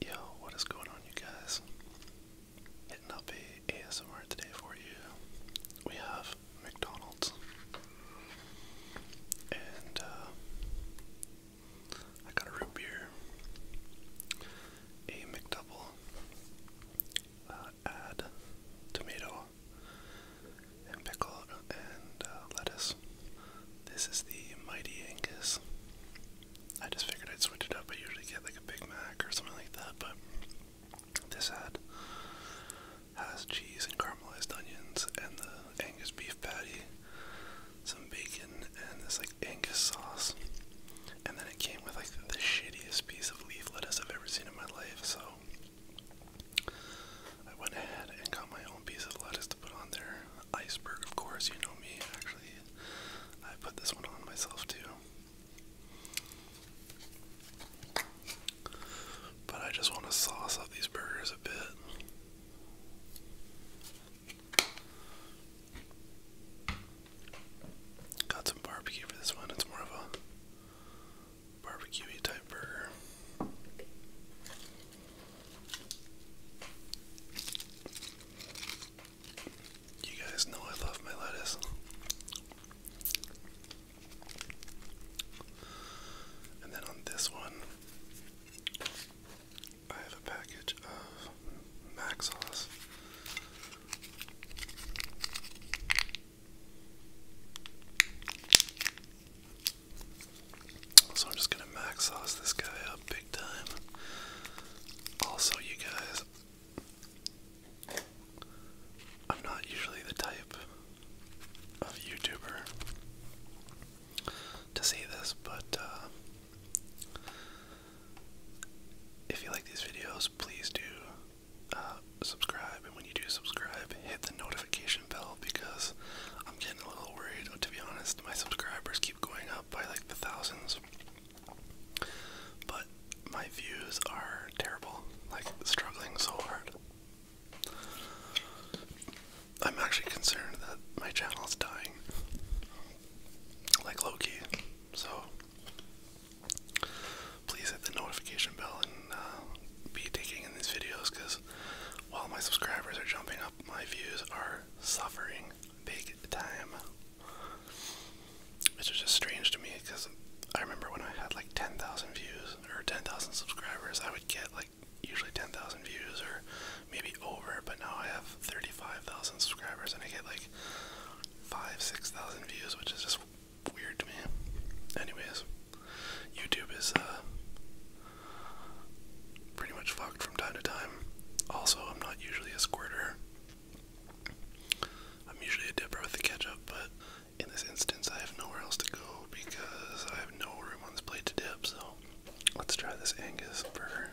Yo, what is going on, you guys? Hitting up a ASMR today for you. We have McDonald's, and uh, I got a root beer, a McDouble, uh, add tomato and pickle and uh, lettuce. This is the Mighty Angus I just figured I'd switch it up. I usually get like a Big Mac or something like that, but this had has cheese and caramelized onions and the Angus beef patty, some bacon, and this like Angus sauce. And then it came with like the shittiest piece of leaf lettuce I've ever seen in my life, so I went ahead and got my own piece of lettuce put on there. Iceberg, of course, you know me. Actually, I put this one on myself too. But I just want to sauce up these burgers a bit. Got some barbecue for this one. It's more of a barbecue type burger. You guys know I love my lettuce. And then on this one, I have a package of mac sauce. So I'm just gonna max sauce this guy up big time. Also, you guys, I'm not usually the type of YouTuber to see this, but uh, if you like these videos, please do uh, subscribe. And when you do subscribe, hit the notification bell because I'm getting getting a little worried, uh, to be honest. My subscribers keep going up by like the thousands, but my views are terrible, like struggling so hard. I'm actually concerned that my channel is dying, like Loki. So please hit the notification bell and uh, be taking in these videos because while my subscribers are jumping up, my views are suffering big time. Which is just strange to me because I remember when I had like 10,000 views or 10,000 subscribers, I would get like usually 10,000 views or maybe over, but now I have 35,000 subscribers and I get like 5, 6,000 views, which is just weird to me. Anyways. YouTube is uh, pretty much fucked from time to time. Also, I'm not usually a squirter. I'm usually a dipper with the ketchup, but in this instance, I have nowhere else to go because I have no room on this plate to dip. So let's try this Angus burger.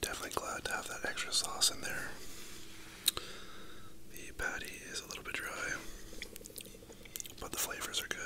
Definitely glad to have that extra sauce in there. The patty is a little bit dry, but the flavors are good.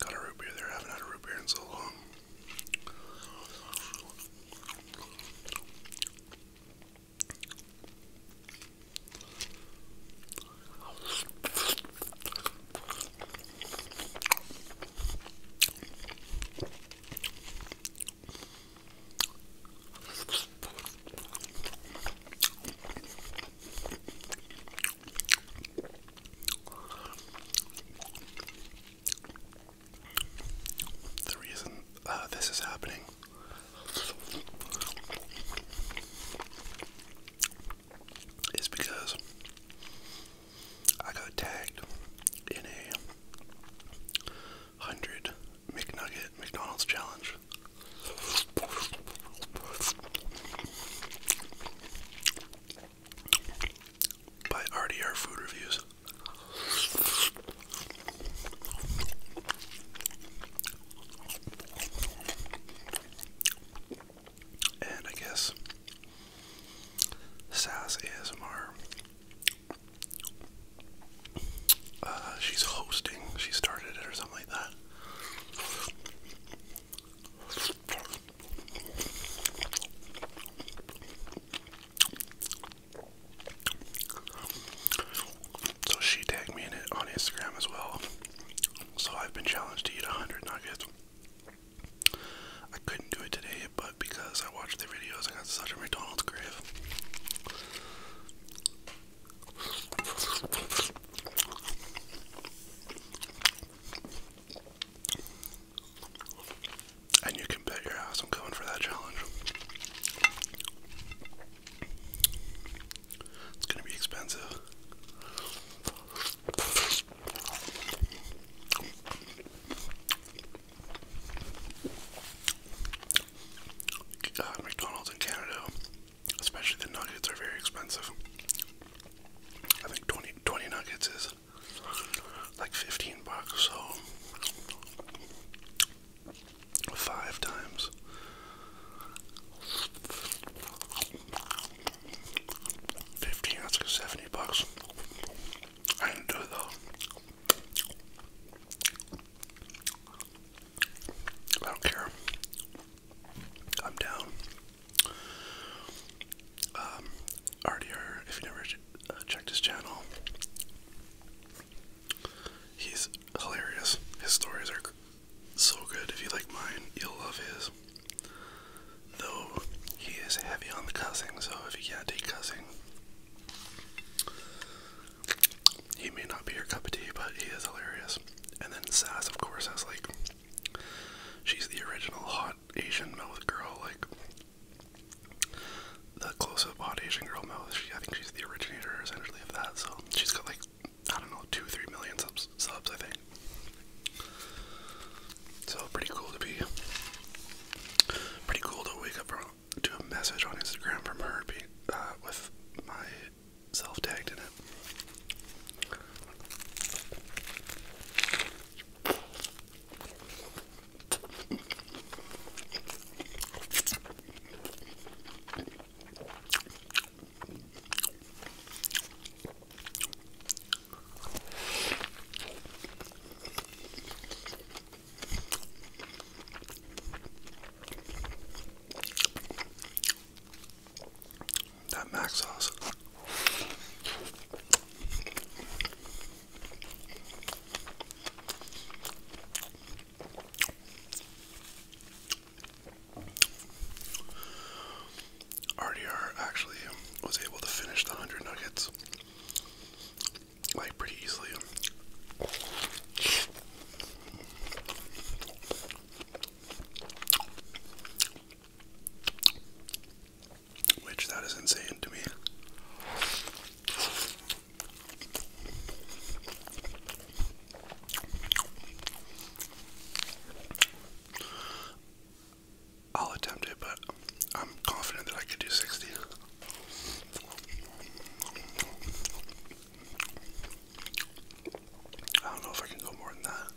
Got a root beer there. haven't had a root beer in so long. The reason uh, this is happening it's because I got tagged in a hundred McNugget McDonald's challenge. By RDR Food Reviews. And I guess Sass ASMR. Uh, she's hosting. She started it or something like that. So she tagged me in it on Instagram as well. So I've been challenged to eat 100 nuggets. I couldn't do it today, but because I watched the videos, I got such a McDonald's crave. And you can bet your ass I'm going for that challenge. It's gonna be expensive. Uh, McDonald's in Canada, especially the nuggets, are very expensive. I think 20, 20 nuggets is like 15 bucks, so five times. Fifteen ounce seventy bucks. I did do it though. I don't care. I'm down. Um, RDR, if you never uh, checked his channel, He's hilarious. His stories are so good. If you like mine, you'll love his. Though he is heavy on the cussing, so if you can't take cussing, he may not be your cup of tea, but he is hilarious. And then Sass, of course, has like she's the original hot Asian mouth girl. Like the close-up on Asian girl mouth. She, I think she's the originator essentially of that. So she's got like I don't know two, three million subs. Subs, I think. So pretty cool to be. Pretty cool to wake up from, to a message on Instagram from her, be, uh, with my self tagged in it. That mac sauce. RDR actually was able to finish the 100 nuggets like pretty easily. Which that is insane to me. I'll attempt it, but I'm confident that I could do 60. I don't know if I can go more than that.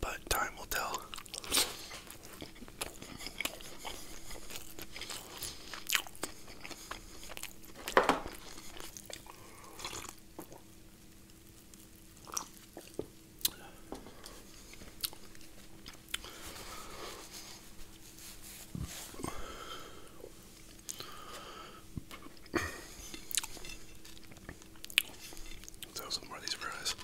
But time will tell. Let's have some more of these fries.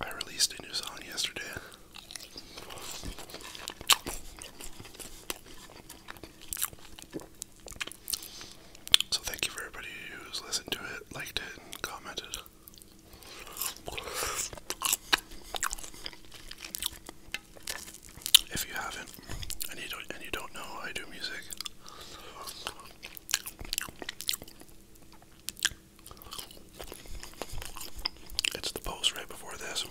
I released a new song yesterday. So thank you for everybody who's listened to it, liked it, and commented. If you haven't, and you don't, and you know, I do music. It's the post right before this.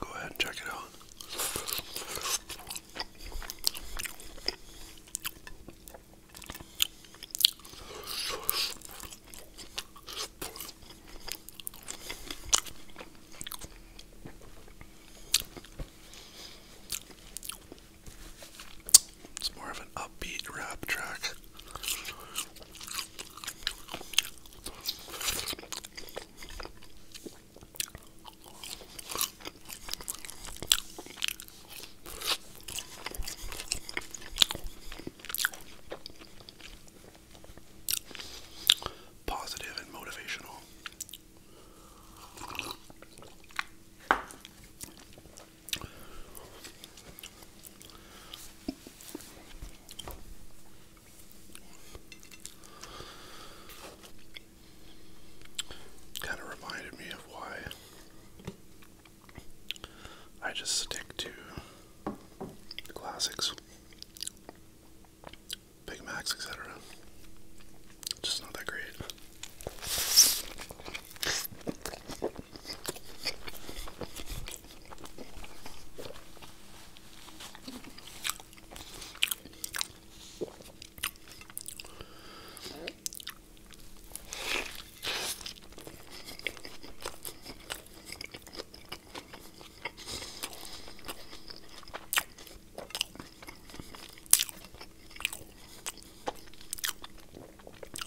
Go ahead and check it out. It's more of an upbeat rap track. Positive and motivational. Kind of reminded me of why I just stick to classics, Big Macs, etc. Just not that great.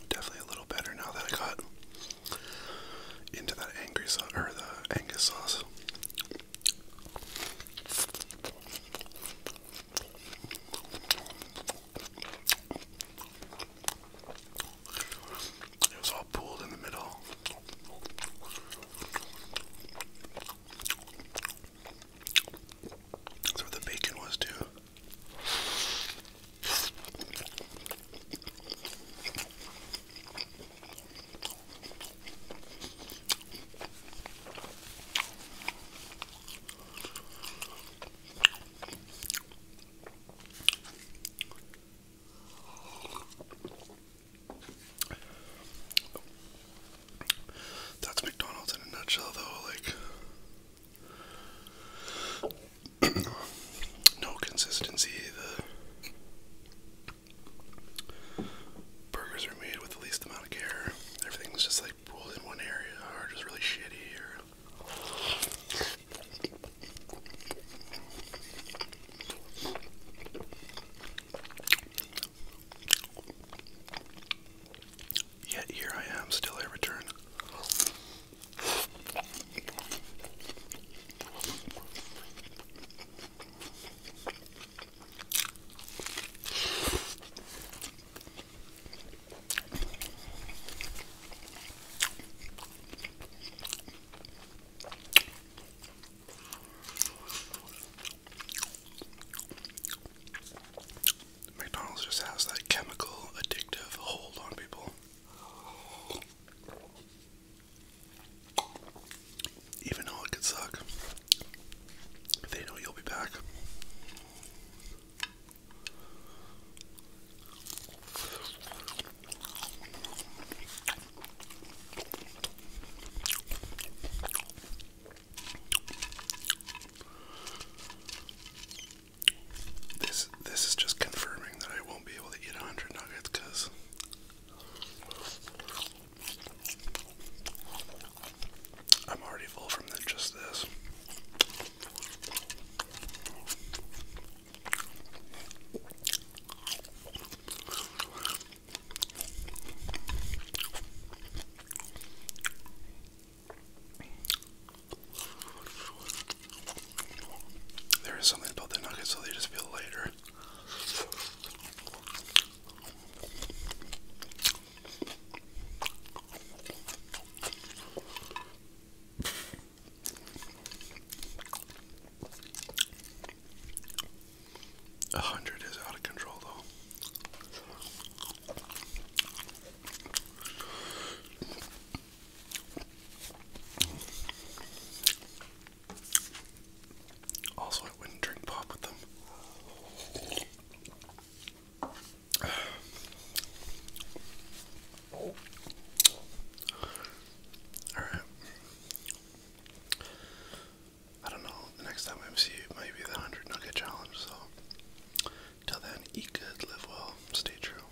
Definitely a little better now that I got into that angry sauce or the Angus sauce. It was all pulled in the middle. That's where the bacon was too. That's McDonald's in a nutshell, though. Like. no consistency, burgers are made with the least amount of care. Everything's just like pulled in one area or just really shitty or Yet here I am, still I return. McDonald's just has that chemical addictive hold on people. Even though it could suck, they know you'll be back. This this is just confirming that I won't be able to eat a hundred nuggets because I'm already full from just this. There is something about the nuggets, so they just feel lighter. A hundred is out of control, though. Also, I wouldn't drink pop with them. all right. I don't know. The next time I see you, might be the hundred nugget challenge. So, till then, eat good, live well, stay true.